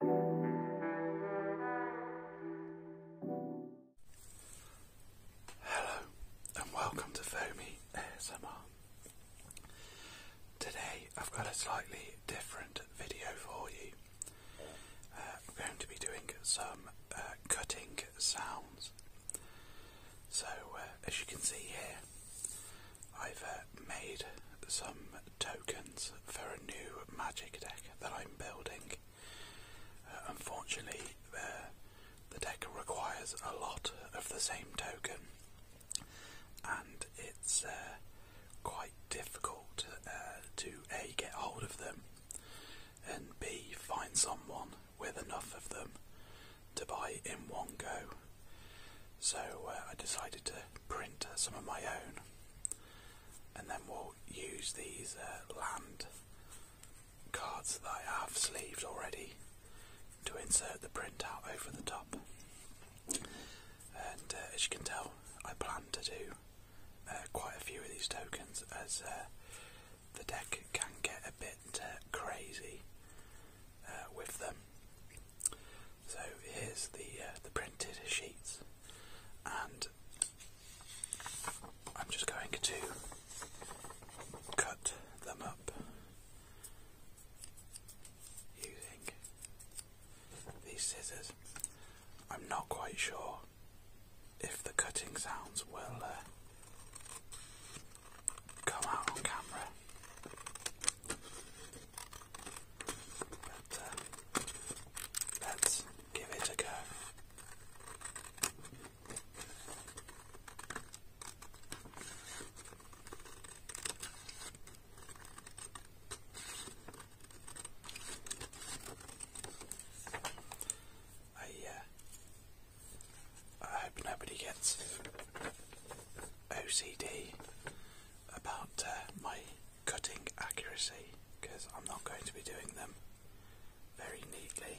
Hello and welcome to Foamy ASMR. Today I've got a slightly different video for you. I'm uh, going to be doing some uh, cutting sounds. So uh, as you can see here, I've made some tokens for a new magic deck that I'm building. Uh, unfortunately, uh, the deck requires a lot of the same token, and it's uh, quite difficult to A, get hold of them, and B, find someone with enough of them to buy in one go. So I decided to print some of my own and then we'll use these uh, land cards that I have sleeved already to insert the printout over the top. And uh, as you can tell, I plan to do uh, quite a few of these tokens as the deck can get a bit crazy with them. So here's the the printed sheets and I'm just going to cut them up using these scissors. I'm not quite sure if the cutting sounds will uh, come out on camera. But uh, let's give it a go. I, uh, I hope nobody gets OCD about uh, my cutting accuracy because I'm not going to be doing them very neatly.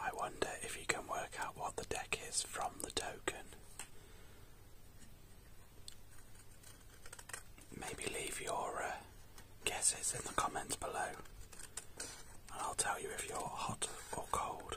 I wonder if you can work out what the deck is from the token. Maybe leave your uh, guesses in the comments below and I'll tell you if you're hot or cold.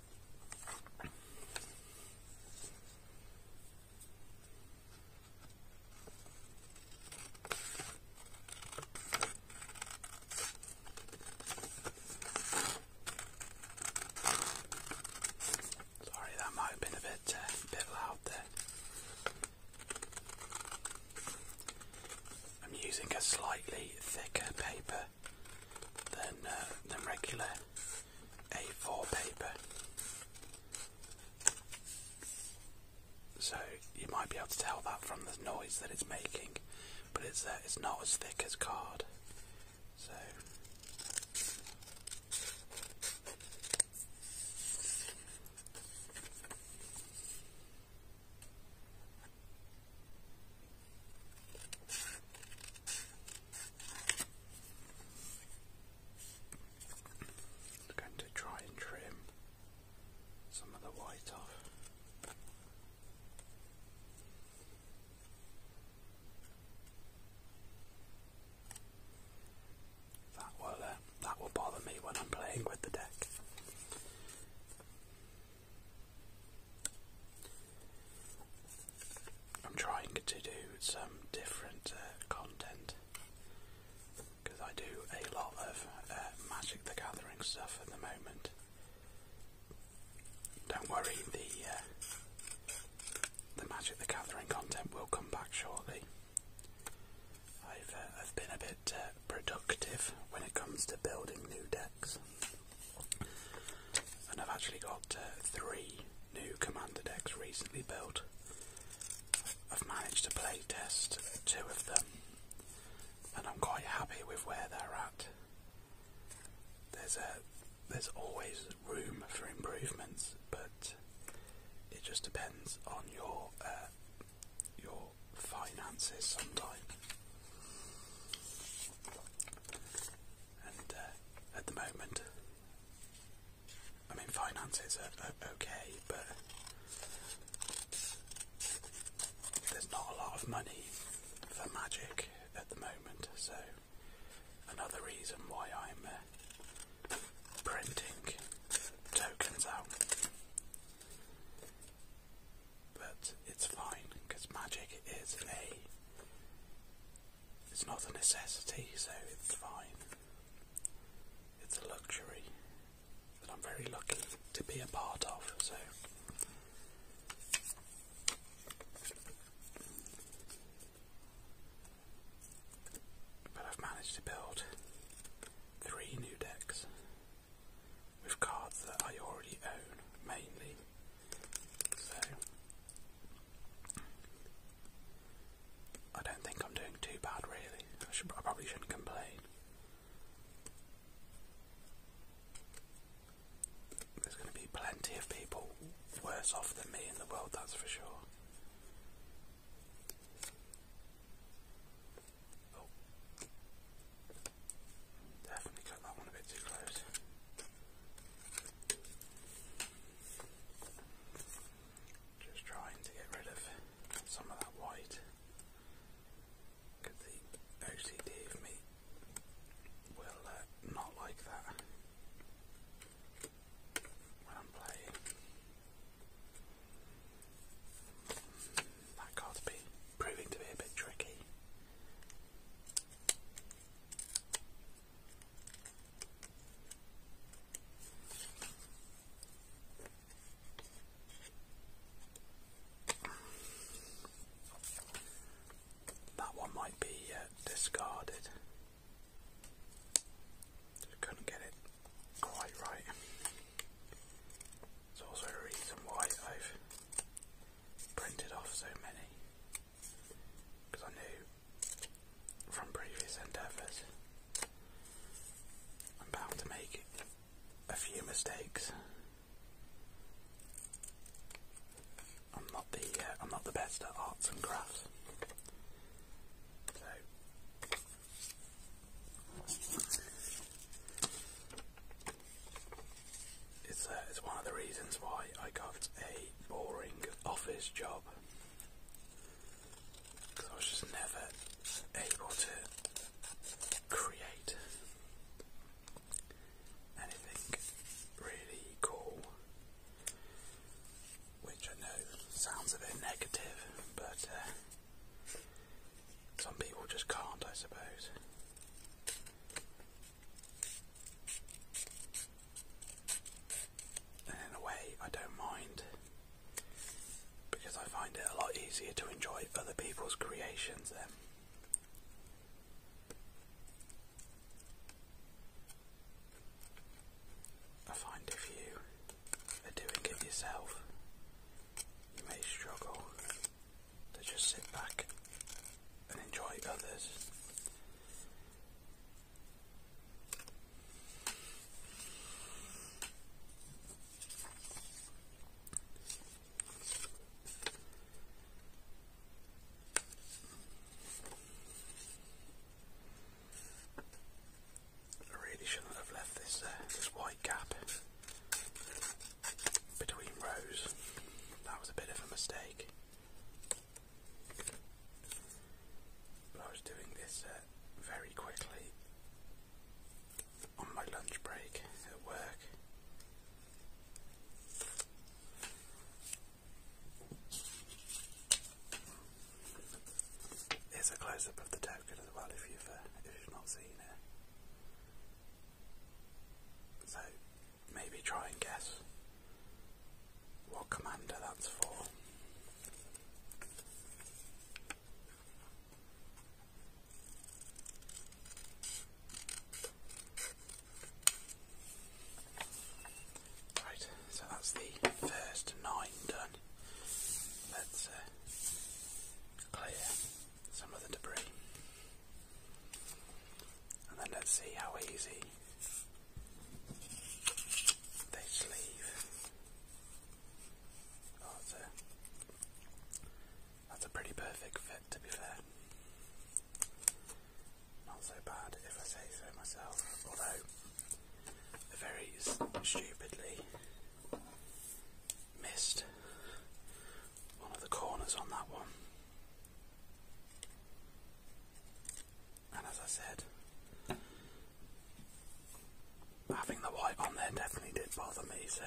Sorry, that might have been a bit, uh, bit loud there. I'm using a slightly thicker paper than uh, than regular A4 paper. So you might be able to tell that from the noise that it's making, but it's uh, it's not as thick as card. So. I'm going to try and trim some of the white off. That will uh, that will bother me when I'm playing with the deck. I'm trying to do some different uh, content because I do a lot of uh, Magic the Gathering stuff at the moment. Don't worry, the uh, Magic the Gathering content will come back shortly. I've been a bit productive when it comes to building new decks. And I've actually got uh, three new commander decks recently built. I've managed to playtest two of them, and I'm quite happy with where they're at. There's always room for improvements, but it just depends on your uh, your finances sometimes and uh, at the moment, I mean finances are, okay, but there's not a lot of money for magic at the moment, so another reason why I'm uh, printing tokens out. But it's fine because magic is a it's not a necessity, so it's fine. It's a luxury that I'm very lucky to be a part of, so. But I've managed to build three new decks with cards that I already own mainly. So I don't think I'm doing too bad, really. I, probably shouldn't complain. There's going to be plenty of people worse off than me in the world, that's for sure. Oh. Definitely cut that one a bit too close. Just trying to get rid of some of that white the OCD of me will uh, not like that I'm playing. That card proving to be a bit tricky. That one might be uh, discarded. couldn't get it quite right. It's also a reason why I've printed off so many because I knew from previous endeavours I'm bound to make a few mistakes. I'm not the uh, I'm not the best at arts and crafts, so it's, uh, it's one of the reasons why I got a boring office job. Because I was just never able to create anything really cool. Which I know sounds a bit negative, but uh, some people just can't, I suppose. And in a way, I don't mind because I find it a lot easier to enjoy other people's creations then. I find if you are doing it yourself, you may struggle to just sit back and enjoy others I really shouldn't have left this this white gap between rows. That was a bit of a mistake. I was doing this uh, very quickly on my lunch break at work. Here's a close up of the token as well if you've, uh, if you've not seen it. So maybe try and guess what commander that's for. Right, so that's the first nine done. Let's uh, clear some of the debris. And then let's see how easy they sleeve. Oh, that's that's a pretty perfect fit, to be fair. Not so bad, if I say so myself, although they very stupidly missed one of the corners on that one. And as I said, having the white on there definitely did bother me, so.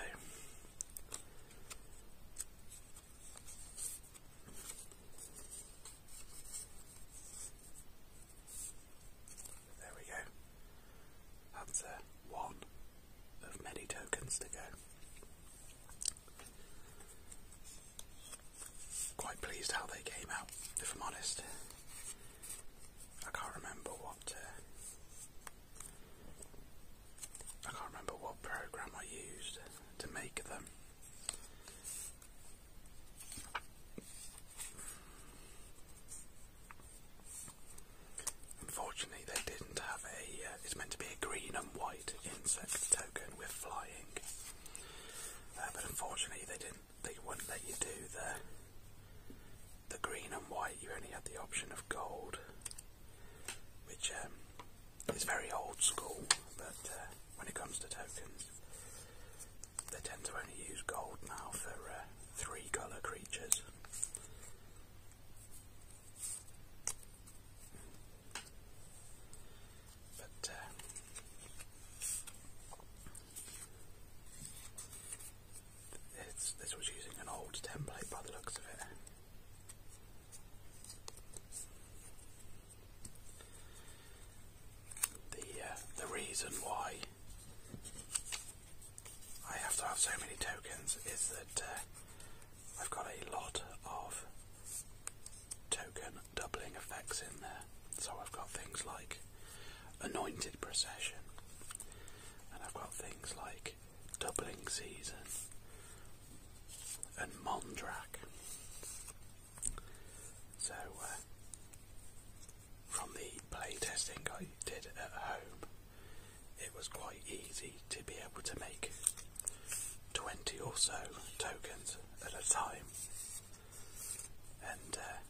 There we go. That's uh, one of many tokens to go. Quite pleased how they came out, if I'm honest. I can't remember what uh, I can't remember what program I used to make them. Unfortunately, they didn't have a. Uh, it's meant to be a green and white insect token with flying. Uh, but unfortunately, they didn't. They wouldn't let you do the the green and white. You only had the option of gold, which um, is very old school. But uh, when it comes to tokens, they tend to only use gold now for uh, three colour creatures. But uh, this was using an old template by the looks of it. The uh, the reason why I have to have so many tokens is that uh, I've got a lot of token doubling effects in there. So I've got things like Anointed Procession, and I've got things like Doubling Season and Mondrak. So, uh, from the playtesting I did at home, it was quite easy to be able to make 20 or so tokens at a time. And uh,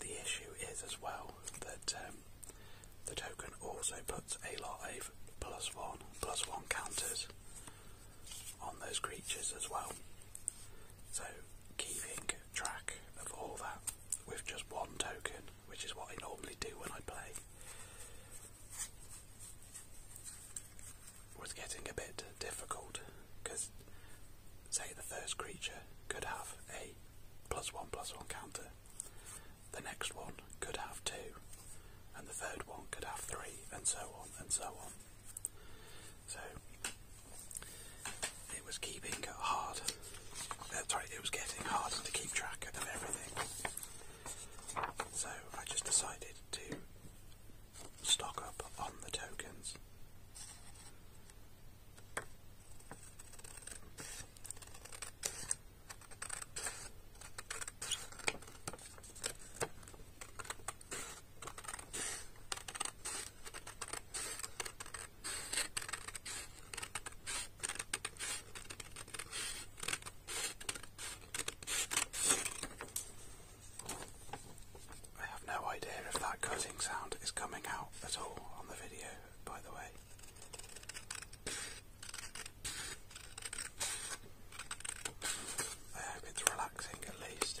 the issue is as well that um, the token also puts a lot of plus one, plus one counters on those creatures as well. So keeping track of all that with just one token, which is what I normally do when I play, was getting a bit difficult because, say, the first creature could have a plus one plus one counter, the next one could have two, and the third one could have three, and so on and so on. So it was keeping hard. Uh, sorry, it was getting harder to keep track of everything. So I just decided to stock up on the tokens. I have no idea if that cutting sound is coming out at all on the video, by the way. I hope it's relaxing at least.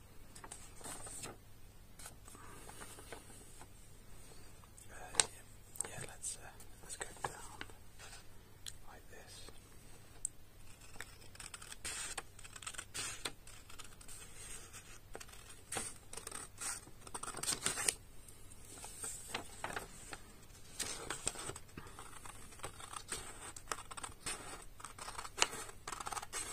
Uh, yeah, yeah, let's uh, let's go down like this.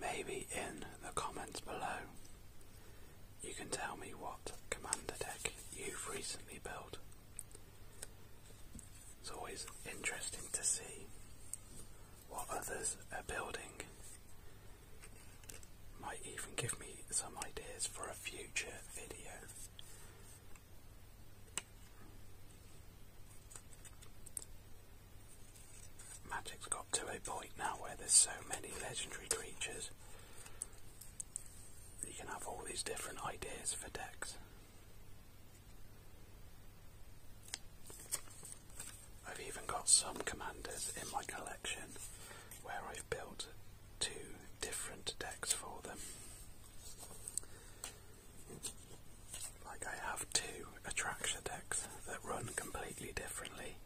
Maybe in the comments below you can tell me what commander deck you've recently built. It's always interesting to see what others are building. Might even give me some ideas for a future video. Magic's got to a point now where there's so many legendary creatures. You can have all these different ideas for decks. I've even got some commanders in my collection where I've built two different decks for them. Like I have two attraction decks that run completely differently.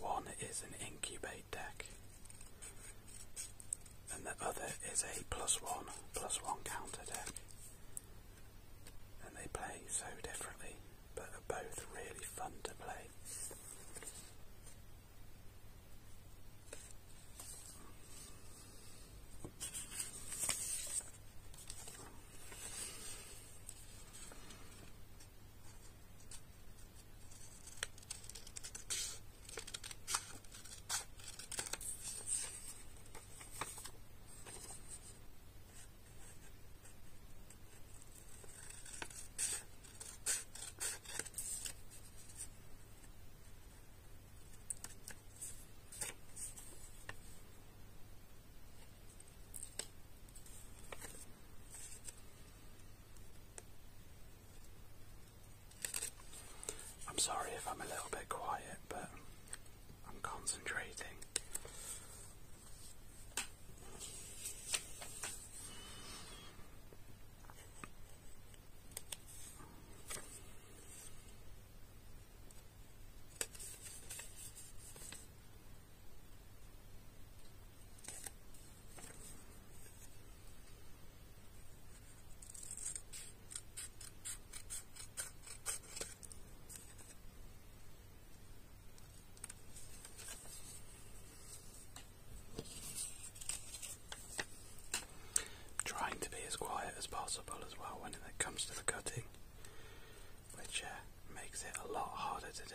One is an incubate deck and the other is a plus one plus one counter deck and they play so differently, but they are both really fun to play. I'm sorry if I'm a little bit quiet, but I'm concentrating. Trying to be as quiet as possible as well when it comes to the cutting, which uh, makes it a lot harder to do.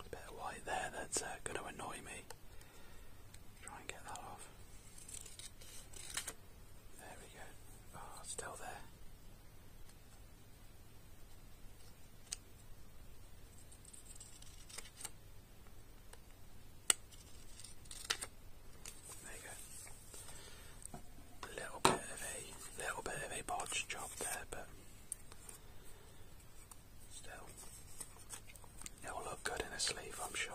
A bit of white there that's uh, going to annoy me. Try and get that off. There we go. Oh, still there. There you go. little bit little bit of a bodge job there, but still it'll look good in a sleeve, I'm sure.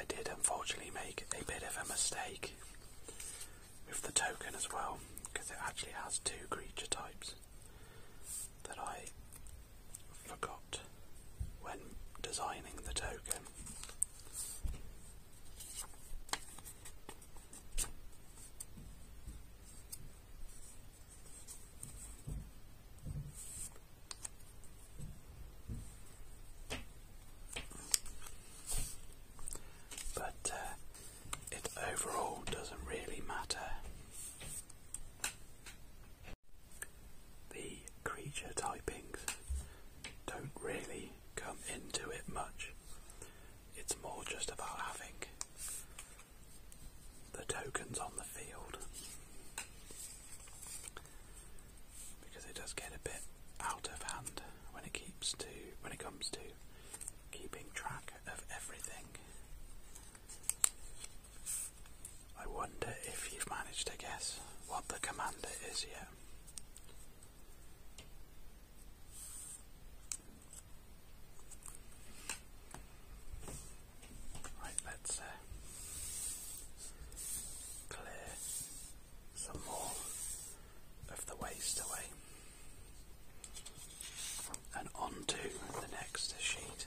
I did unfortunately make a bit of a mistake with the token as well because it actually has two creature types that I forgot when designing the token. But uh, it overall doesn't really matter. The creature typings don't really come into it much. It's more just about having the tokens on the field. Because it does get a bit out of hand when it comes to keeping track of everything. I wonder if you've managed to guess what the commander is yet. Right, let's uh, clear some more of the waste away. And on the next sheet.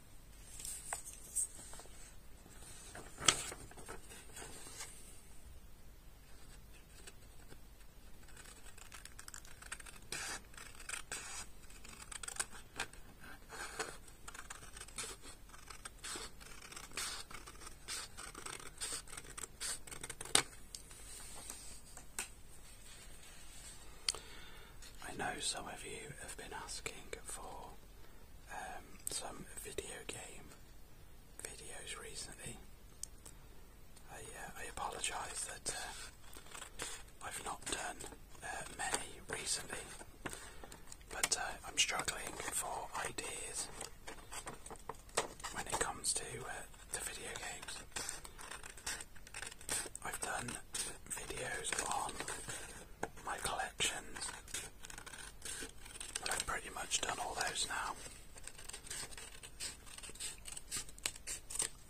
I know some of you have been asking for um, some video game videos recently. I, uh, I apologise that uh, I've not done uh, many recently, but I'm struggling for ideas when it comes to, the video games. I've done videos on my collections. I've pretty much done all those now.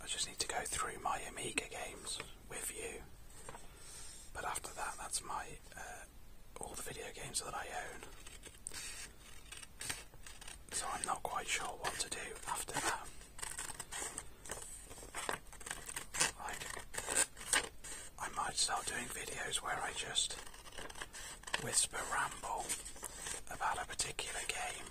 I just need to go through my Amiga games with you. But after that, that's my uh, all the video games that I own. So I'm not quite sure what to do after that. I might start doing videos where I just whisper ramble about a particular game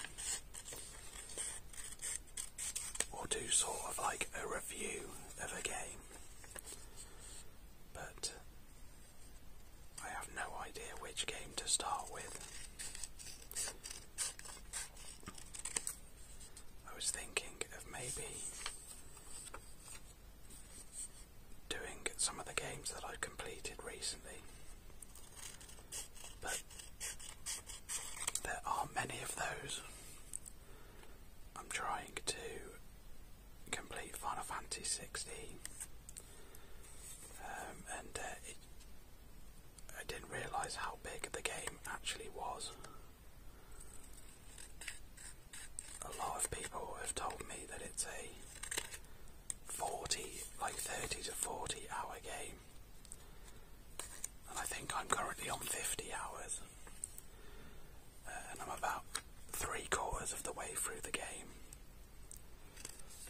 or do sort of like a review of a game. But I have no idea which game to start with. I was thinking of maybe doing some of the games that I've completed recently. But there are many of those. I'm trying to complete Final Fantasy 16, um, and uh, I didn't realise how big the game actually was a lot of people have told me that it's a 40, like 30 to 40 hour game. And I think I'm currently on 50 hours. Uh, and I'm about three quarters of the way through the game.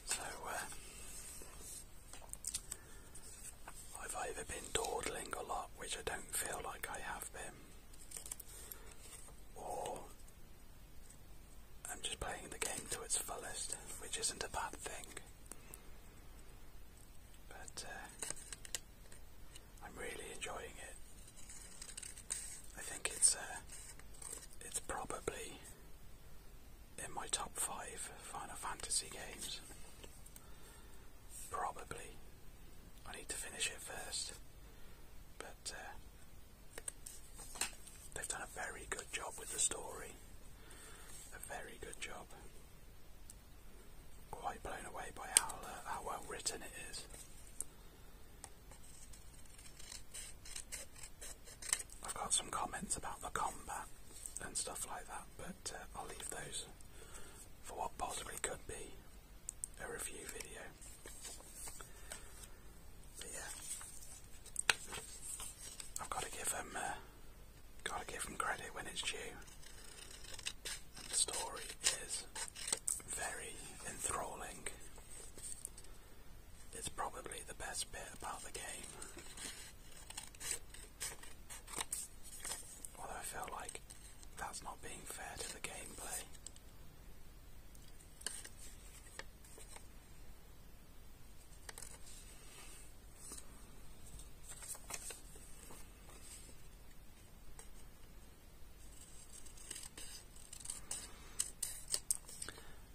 So, uh, I've either been dawdling a lot, which I don't feel like I have been, or I'm just playing the game to its fullest, which isn't a bad thing. But uh, I'm really enjoying it. I think it's uh, it's probably in my top five Final Fantasy games. Probably. I need to finish it first. But uh, they've done a very good job with the story. A very good job. Quite blown away by how, uh, well written it is. I've got some comments about the combat and stuff like that, but uh, I'll leave those for what possibly could be a review video. But yeah, I've got to give them, uh, got to give them credit when it's due. the story is very enthralling. It's probably the best bit about the game. Although I feel like that's not being fair to the gameplay.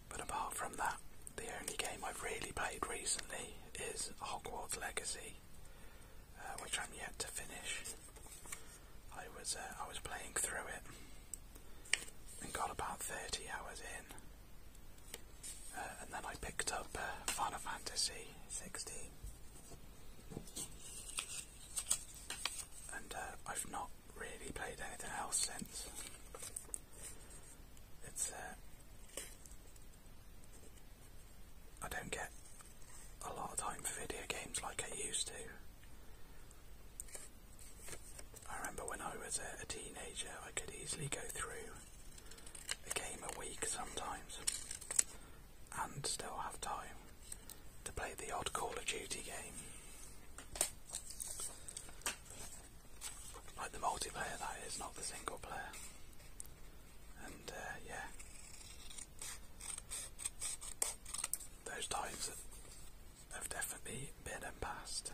But apart from that, the only game I've really played recently is Hogwarts Legacy, uh, which I'm yet to finish. I was uh, I was playing through it and got about 30 hours in, uh, and then I picked up Final Fantasy 16, and I've not really played anything else since. It's I don't get a lot of time for video games like I used to. I remember when I was a, teenager, I could easily go through a game a week sometimes and still have time to play the odd Call of Duty game. Like the multiplayer, that is, not the single player. And uh, yeah, those times have definitely been and passed.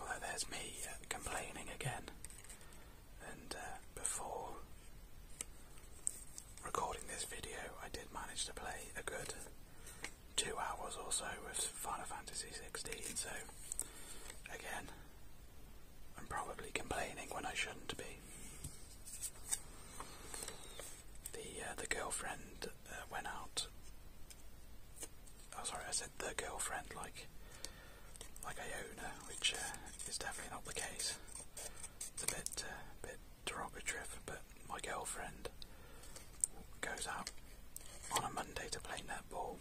Although there's me uh, complaining again, and uh, before recording this video, I did manage to play a good two hours or so with Final Fantasy XVI. So again, I'm probably complaining when I shouldn't be. The uh, the girlfriend uh, went out. Oh, sorry, I said the girlfriend like like I which uh, is definitely not the case. It's a bit uh, bit derogatory, but my girlfriend goes out on a Monday to play netball.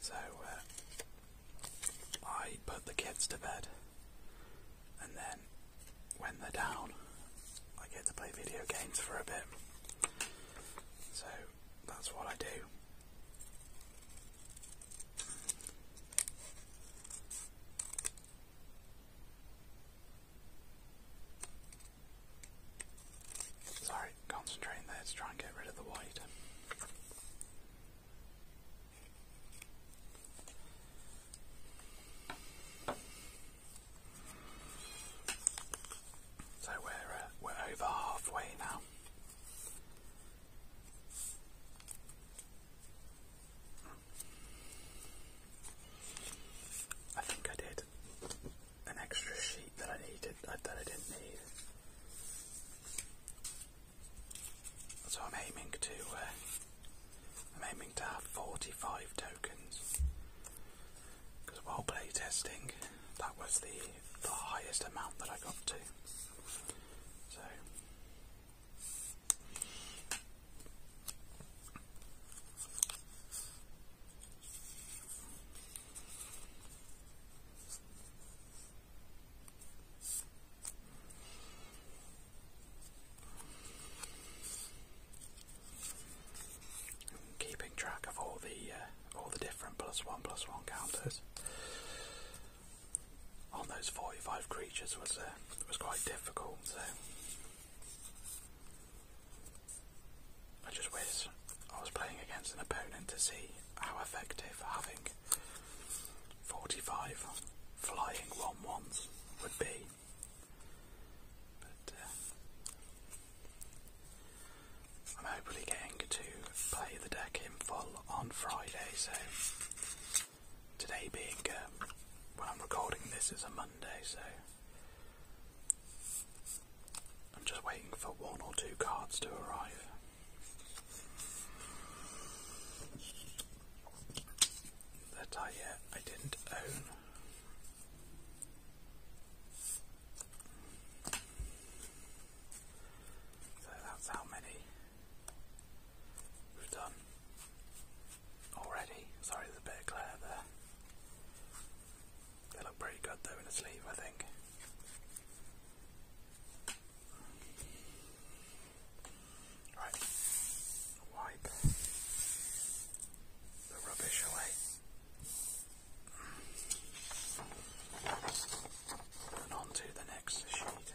So uh, I put the kids to bed, and then when they're down, I get to play video games for a bit. So that's what I do. Sorry, concentrating there to try and get rid of the white. So we're uh, we're over halfway now. I think I did an extra sheet that I needed uh, that I didn't need. So I'm aiming to uh, I'm aiming to have 45 tokens because while playtesting that was the, the highest amount that I got to. So Keeping track of all the uh, all the different plus one plus one counters on those forty five creatures was uh, was quite difficult. I just wish I was playing against an opponent to see how effective having 45 flying 1 1s would be. But uh, I'm hopefully getting to play the deck in full on Friday, so today being um, when I'm recording this is a Monday, so I'm just waiting for one or two cards to arrive. That I, uh, I didn't own. So that's how many we've done already. Sorry, there's a bit glare there. They look pretty good though in a sleeve, I think. Right, wipe the rubbish away. And on the next sheet.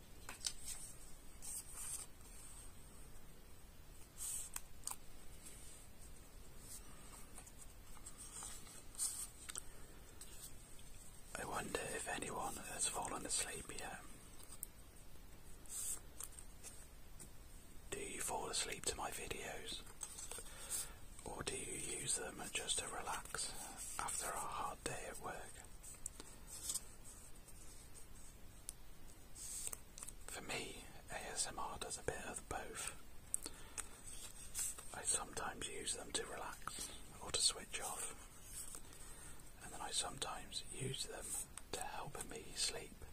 I wonder if anyone has fallen asleep yet. Do you fall asleep to my videos? Or do you use them just to relax after a hard day at work? For me, ASMR does a bit of both. I sometimes use them to relax or to switch off, and then I sometimes use them to help me sleep.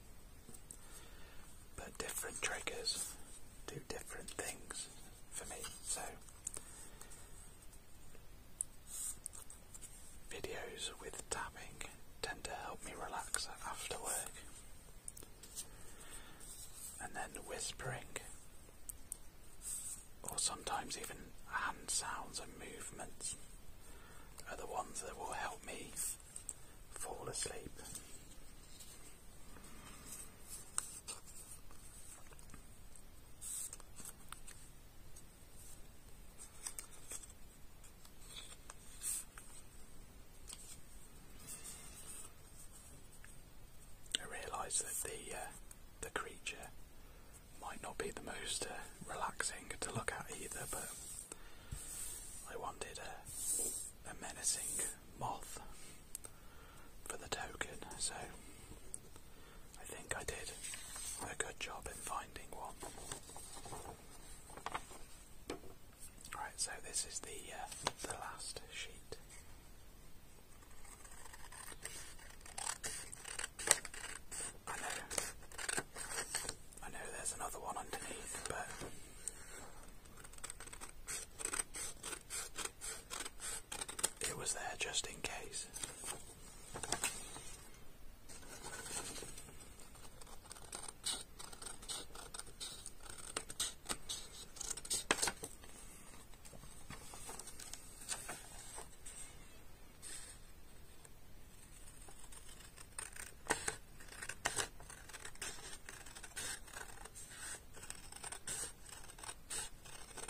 But different triggers do different things for me, so Videos with tapping tend to help me relax after work. And then whispering, or sometimes even hand sounds and movements, are the ones that will help me fall asleep. I realised that the uh, the creature might not be the most uh, relaxing to look at either, but I wanted a, a menacing moth for the token, so I think I did a good job in finding one. Right, so this is the uh, the last sheet. I know, I know there's another one underneath, but it was there just in case.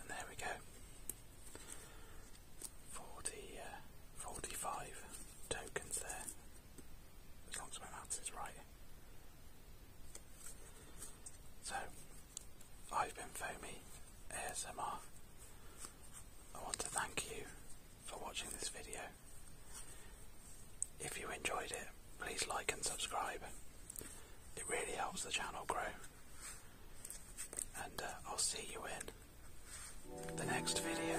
And there we go. Forty uh, forty five tokens there. As long as my maths is right. So I've been Foamy ASMR. I want to thank you for watching this video. If you enjoyed it, please like and subscribe. It really helps the channel grow. And uh, I'll see you in the next video.